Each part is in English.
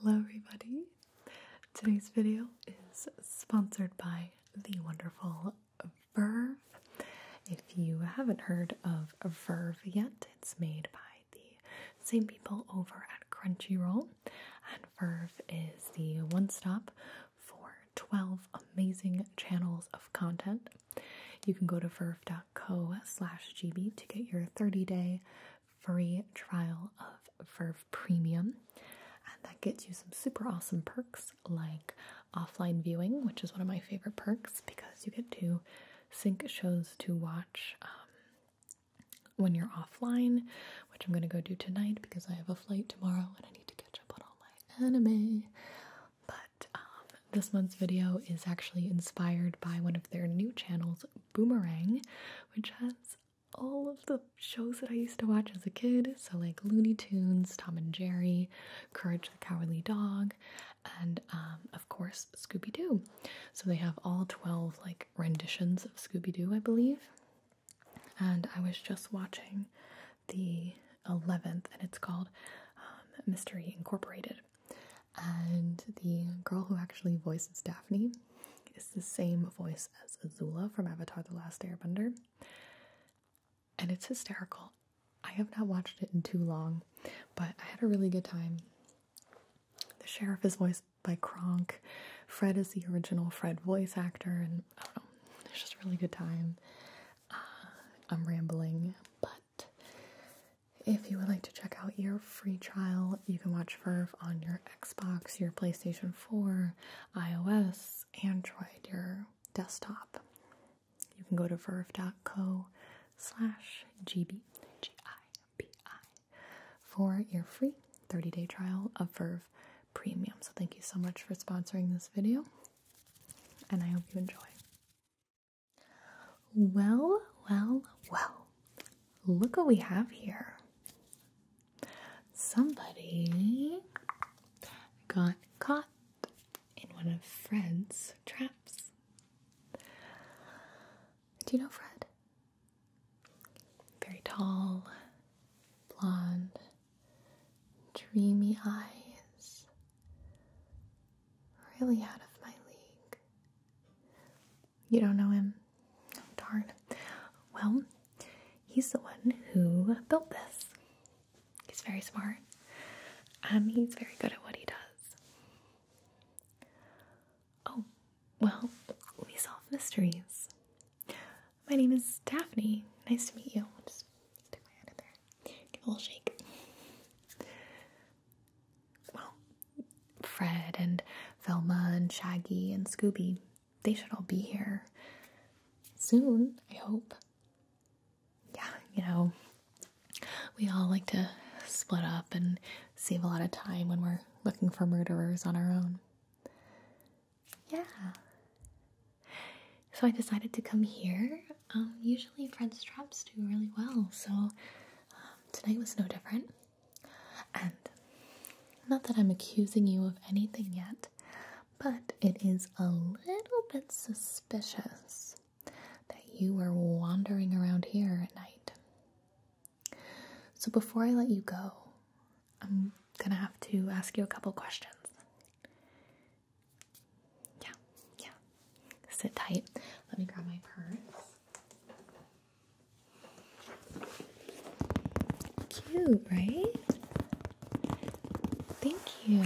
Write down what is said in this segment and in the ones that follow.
Hello everybody! Today's video is sponsored by the wonderful Verve. If you haven't heard of Verve yet, it's made by the same people over at Crunchyroll. And Verve is the one stop for 12 amazing channels of content you can go to verve.co slash GB to get your 30 day free trial of Verve Premium. And that gets you some super awesome perks like offline viewing, which is one of my favorite perks because you get to sync shows to watch um, when you're offline, which I'm going to go do tonight because I have a flight tomorrow and I need to catch up on all my anime. But um, this month's video is actually inspired by one of their new channels, Boomerang, which has all of the shows that I used to watch as a kid. So, like Looney Tunes, Tom and Jerry, Courage the Cowardly Dog, and um, of course, Scooby Doo. So, they have all 12 like renditions of Scooby Doo, I believe. And I was just watching the 11th, and it's called um, Mystery Incorporated. And the girl who actually voices Daphne is the same voice as Zula from Avatar The Last Airbender. And it's hysterical. I have not watched it in too long, but I had a really good time. The sheriff is voiced by Kronk. Fred is the original Fred voice actor, and I don't know, it's just a really good time. Uh, I'm rambling, but if you would like to check out your free trial, you can watch Verve on your Xbox, your PlayStation 4, iOS, Android, your desktop. You can go to verve.co slash GB for your free 30-day trial of Verve Premium. So thank you so much for sponsoring this video, and I hope you enjoy. Well, well, well. Look what we have here. Somebody got caught in one of Fred's traps. Do you know Fred? Very tall, blonde, dreamy eyes, really out of my league. You don't know him? Oh, darn. Well, he's the one who built this. He's very smart. Um, he's very good at what he does. Oh, well, we solve mysteries. My name is Daphne. Nice to meet you. i my head in there. Give a little shake. Well, Fred and Velma and Shaggy and Scooby, they should all be here soon, I hope. Yeah, you know, we all like to split up and save a lot of time when we're looking for murderers on our own. Yeah so I decided to come here. Um, usually, French traps do really well, so um, tonight was no different. And not that I'm accusing you of anything yet, but it is a little bit suspicious that you were wandering around here at night. So, before I let you go, I'm gonna have to ask you a couple questions. Yeah, yeah. Sit tight. Let me grab my purse. Cute, right? Thank you.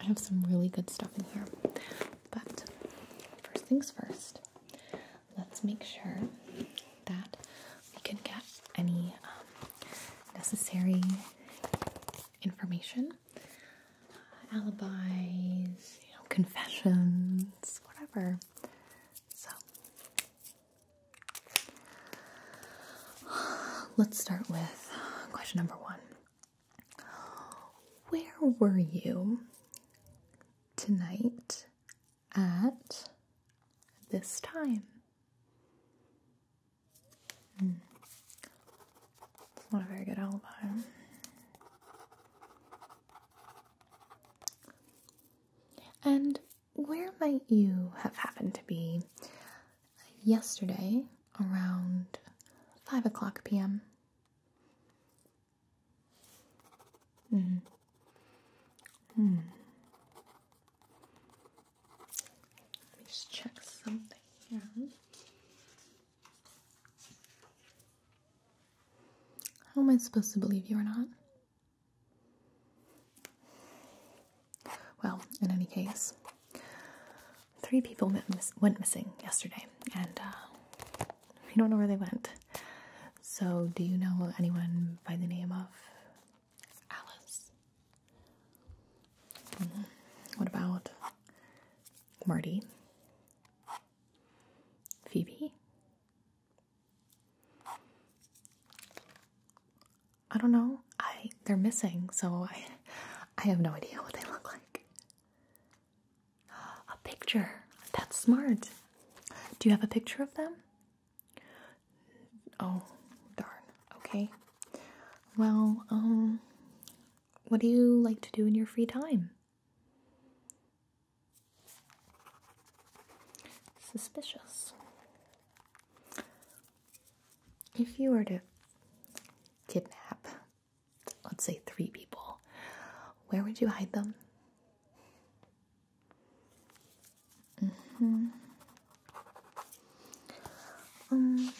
I have some really good stuff in here. But first things first, let's make sure that we can get any um, necessary information, alibis, you know, confessions, whatever. So let's start with question number one. Where were you tonight at this time? It's hmm. not a very good alibi. And where might you have happened to be yesterday around 5 o'clock p.m.? Mm. Mm. Let me just check something here. How am I supposed to believe you or not? Well, in any case, three people went, missing yesterday, and uh, we don't know where they went. So, do you know anyone by the name of Alice. Mm-hmm. What about Marty? Phoebe? I don't know. I they're missing, so I I have no idea what they look like. A picture. That's smart. Do you have a picture of them? Oh, darn. Okay. Well, um, what do you like to do in your free time? Suspicious. If you were to kidnap, let's say, three people, where would you hide them? Mm hmm Um,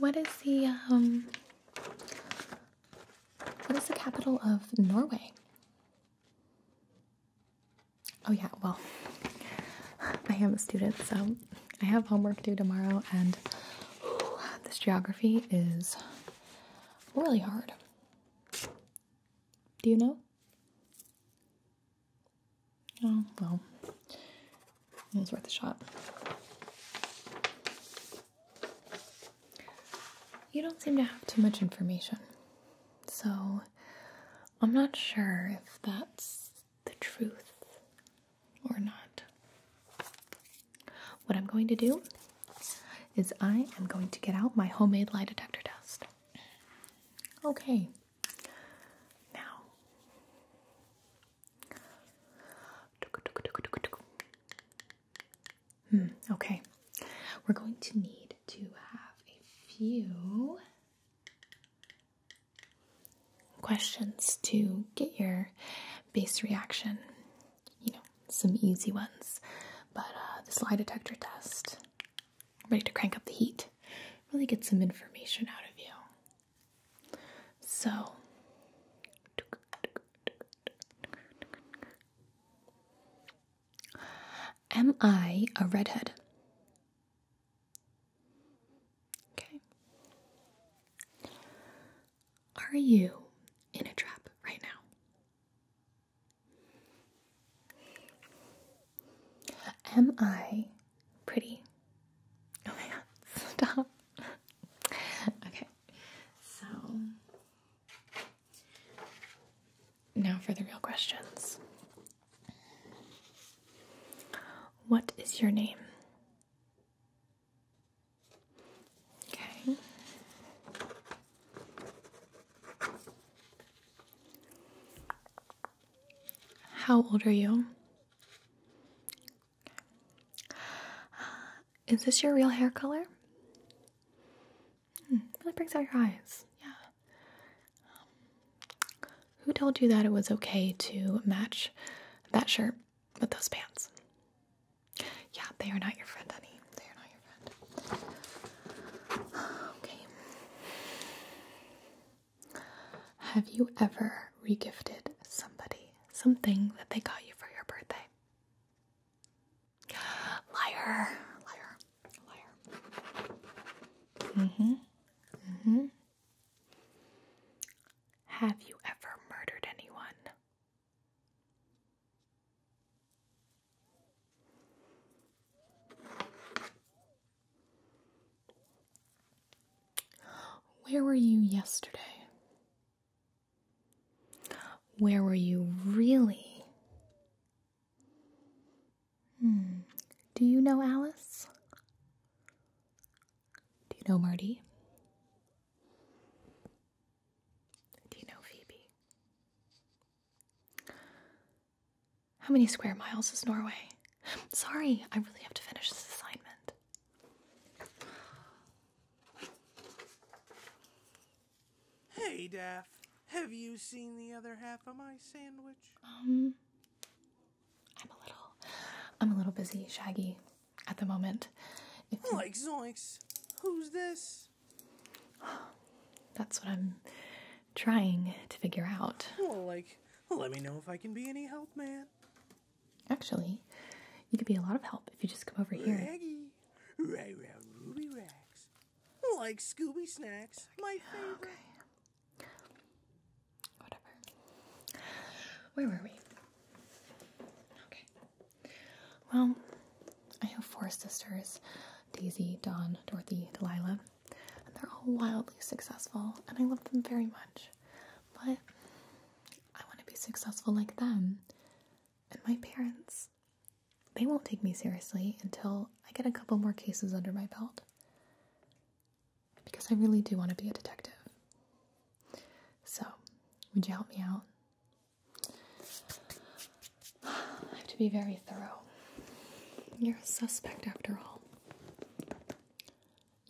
what is the um? What is the capital of Norway? Oh yeah, well, I am a student, so I have homework due tomorrow, and this geography is really hard. Do you know? Oh, well, it was worth a shot. You don't seem to have too much information, so I'm not sure if that's the truth or not. What I'm going to do is I am going to get out my homemade lie detector test. Okay. Now, hmm, okay, we're going to need to have a few questions to get your base reaction. You know, some easy ones, but uh, the this lie detector test I'm ready to crank up the heat, really get some information out of you. So, am I a redhead? Okay. Are you in a trap right now? Am I pretty? Oh my god, stop. okay, so now for the real questions. What is your name? Okay. How old are you? Is this your real hair color? Hmm, that brings out your eyes. Yeah. Um, who told you that it was okay to match that shirt with those pants? Yeah, they are not your friend, honey. They are not Okay. Have you ever regifted somebody something that they got you for your birthday? Liar, liar, liar. hmm hmm Have you ever murdered anyone? Where were you yesterday? Where were you really? Hmm. Do you know Alice? Do you know Marty? Do you know Phoebe? How many square miles is Norway? Sorry, I really have to finish this assignment. Hey, Daff. Have you seen the other half of my sandwich? Um, I'm a little, I'm a little busy, Shaggy, at the moment. like you... who's this? That's what I'm trying to figure out. Well, like, let me know if I can be any help, man. Actually, you could be a lot of help if you just come over here. Raggy, right round Ruby Racks, like Scooby Snacks, my favorite. Okay. Whatever. Where were we? Okay. Well, I have four sisters Daisy, Dawn, Dorothy, Delilah, and they're all wildly successful, and I love them very much. But I want to be successful like them. And my parents, they won't take me seriously until I get a couple more cases under my belt. Because I really do want to be a detective. So, would you help me out? I have to be very thorough. You're a suspect after all.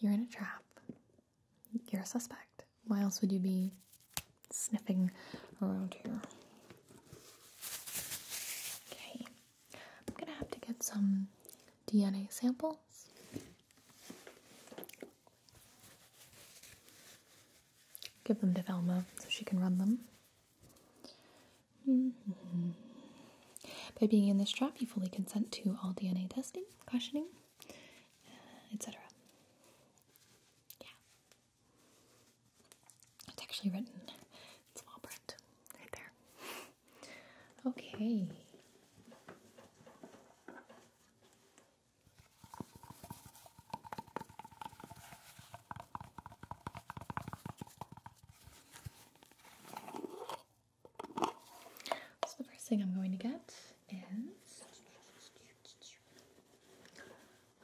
You're in a trap. You're a suspect. Why else would you be sniffing around here? Okay, I'm gonna have to get some DNA samples. Give them to Velma so she can run them. Mm-hmm. By being in this trap, you fully consent to all DNA testing, questioning, uh, etc. Yeah. It's actually written in small print right there. Okay. So the first thing I'm going to get is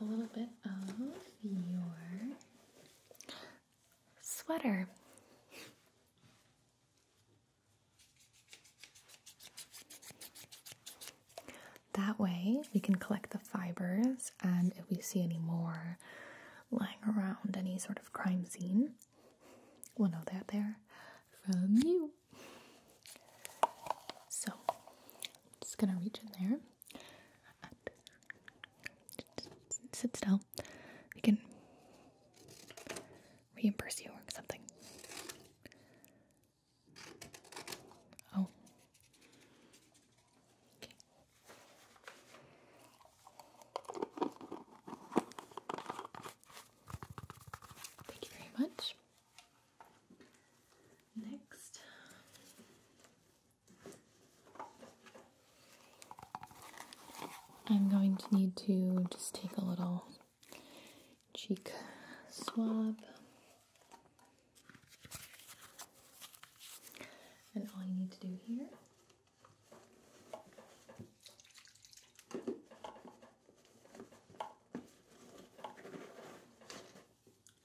a little bit of your sweater. That way, we can collect the fibers, and if we see any more lying around any sort of crime scene, we'll know that they're from you. So, i just gonna reach in there. sit still. We can reimburse you or something. Oh. Thank you very much. Next. I'm going to need to just take a little cheek swab. And all you need to do here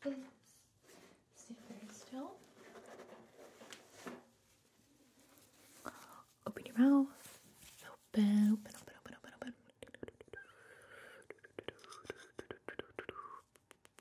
is sit very still. Open your mouth. Open, open, open, open, open, open.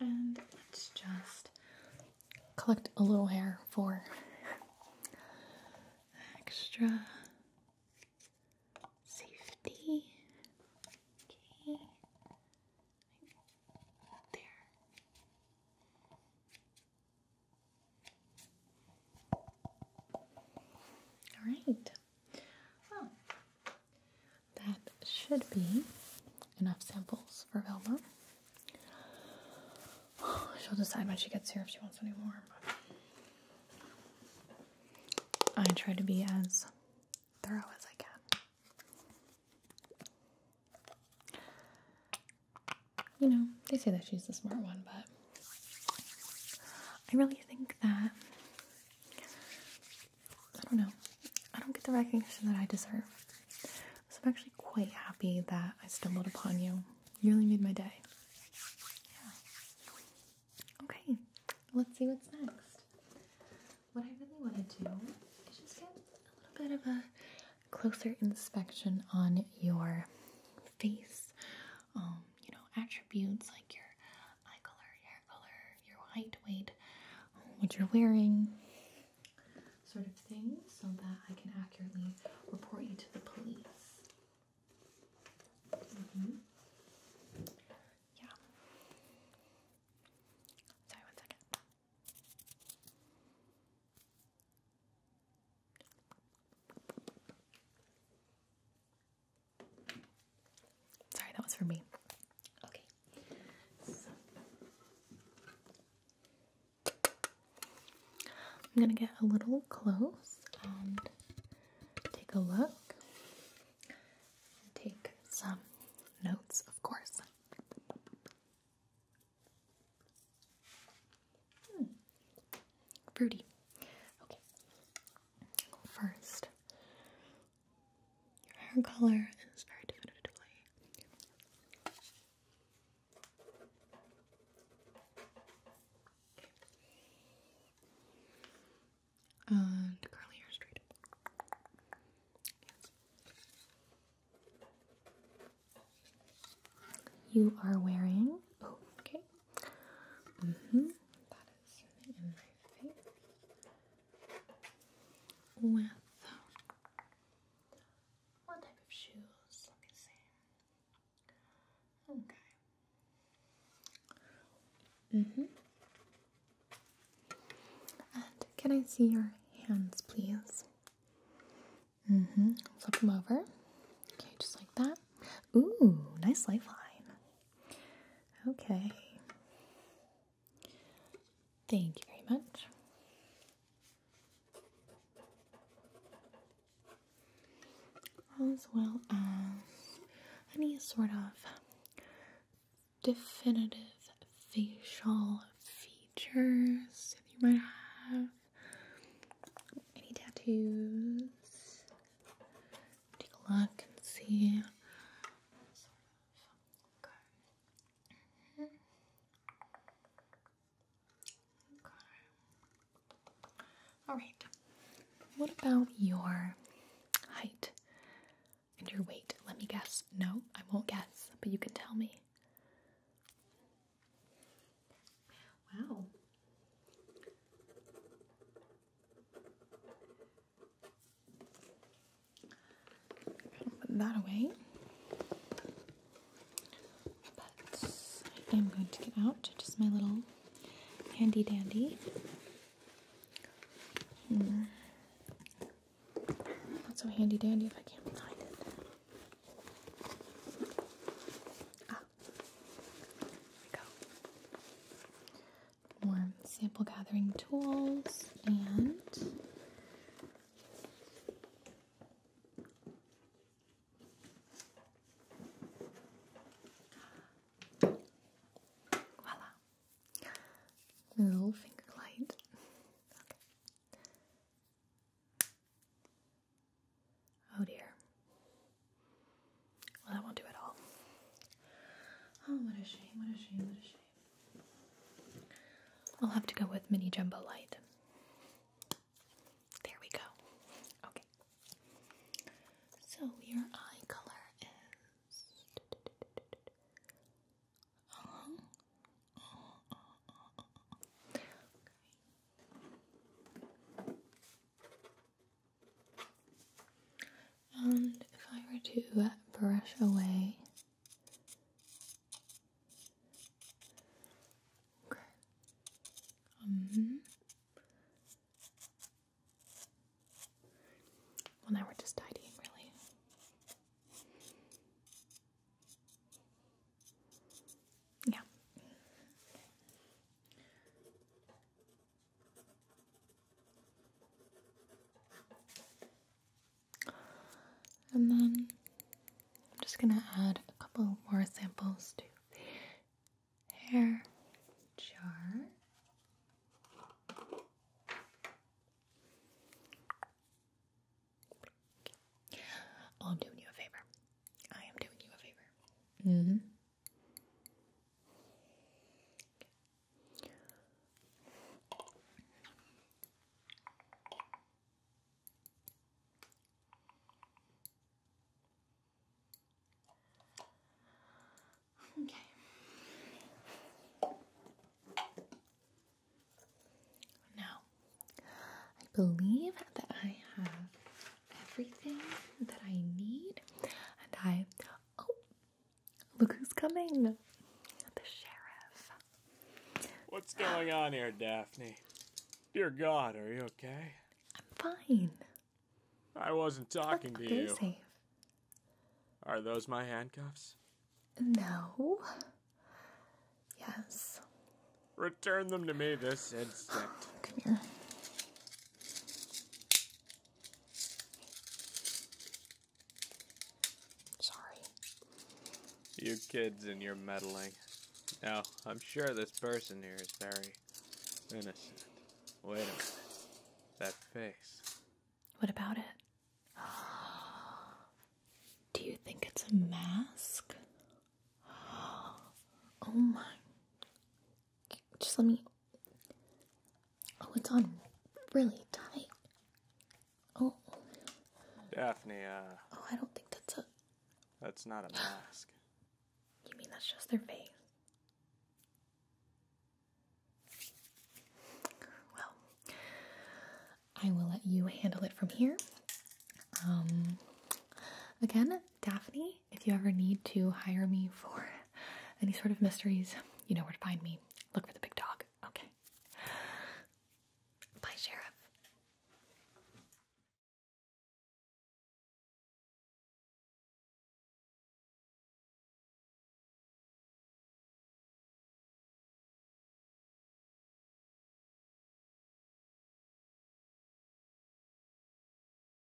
And let's just collect a little hair for extra safety. Okay. There. All right. That should be enough samples for Velma. She'll decide when she gets here if she wants any more. I try to be as thorough as I can. You know, they say that she's the smart one, but I really think that I don't know. I don't get the recognition that I deserve. So I'm actually quite happy that I stumbled upon you. You really made my day. Yeah. Okay, let's see what's next. What I really want to do is just get a little bit of a closer inspection on your face. Um, you know, attributes like your eye color, your your height, weight, what you're wearing, sort of thing, so that I can accurately report you to the police. Mm-hmm. Yeah. Sorry, one second. Sorry, that was for me. Okay. I'm gonna get a little close and take a look. Take some notes, of course. Hmm. Fruity. Okay. First, your hair color is very definitively and curly hair straight. You are wearing. Oh, okay. Mm-hmm. is in my face with what type of shoes? Okay. hmm can I see your hands, please? hmm Flip them over. Okay, just like that. Ooh, nice lifeline. Okay. Thank you very much. As well as any sort of definitive facial features that you might have, any tattoos, take a look and see. All right. What about your height and your weight? Let me guess. No, I won't guess, but you can tell me. Wow. Put that away. I am going to get out just my little handy dandy. Hmm. Not so handy dandy if I can't find it. Ah, there we go more sample gathering tools and voila little finger light oh dear well, that won't do at all. Oh, what a shame, what a shame, what a shame. I'll have to go with Mini Jumbo Light. There we go. Okay. So your eye color is. And if I were to brush away okay. um, well now we're just tidying really. Yeah. And then I'm just gonna add a couple more samples to the hair jar. I'm doing you a favor. I am doing you a favor. Mm-hmm. Okay. Now, I believe that I have everything that I need, and I Oh, look who's coming. The sheriff. What's going ah. on here, Daphne? Dear God, are you okay? I'm fine. I wasn't talking to you. Safe. Are those my handcuffs? No. Yes. Return them to me this instant. Come here. Sorry. You kids and your meddling. Now, I'm sure this person here is very innocent. Wait a minute. That face. What about it? Do you think it's a mask? Oh my. Just let me. Oh, it's on really tight. Oh. Daphne, uh, Oh, I don't think that's a. That's not a mask. You mean that's just their face? Well, I will let you handle it from here. Um, again, Daphne, if you ever need to hire me for any sort of mysteries. You know where to find me. Look for the big dog. Okay. Bye, Sheriff.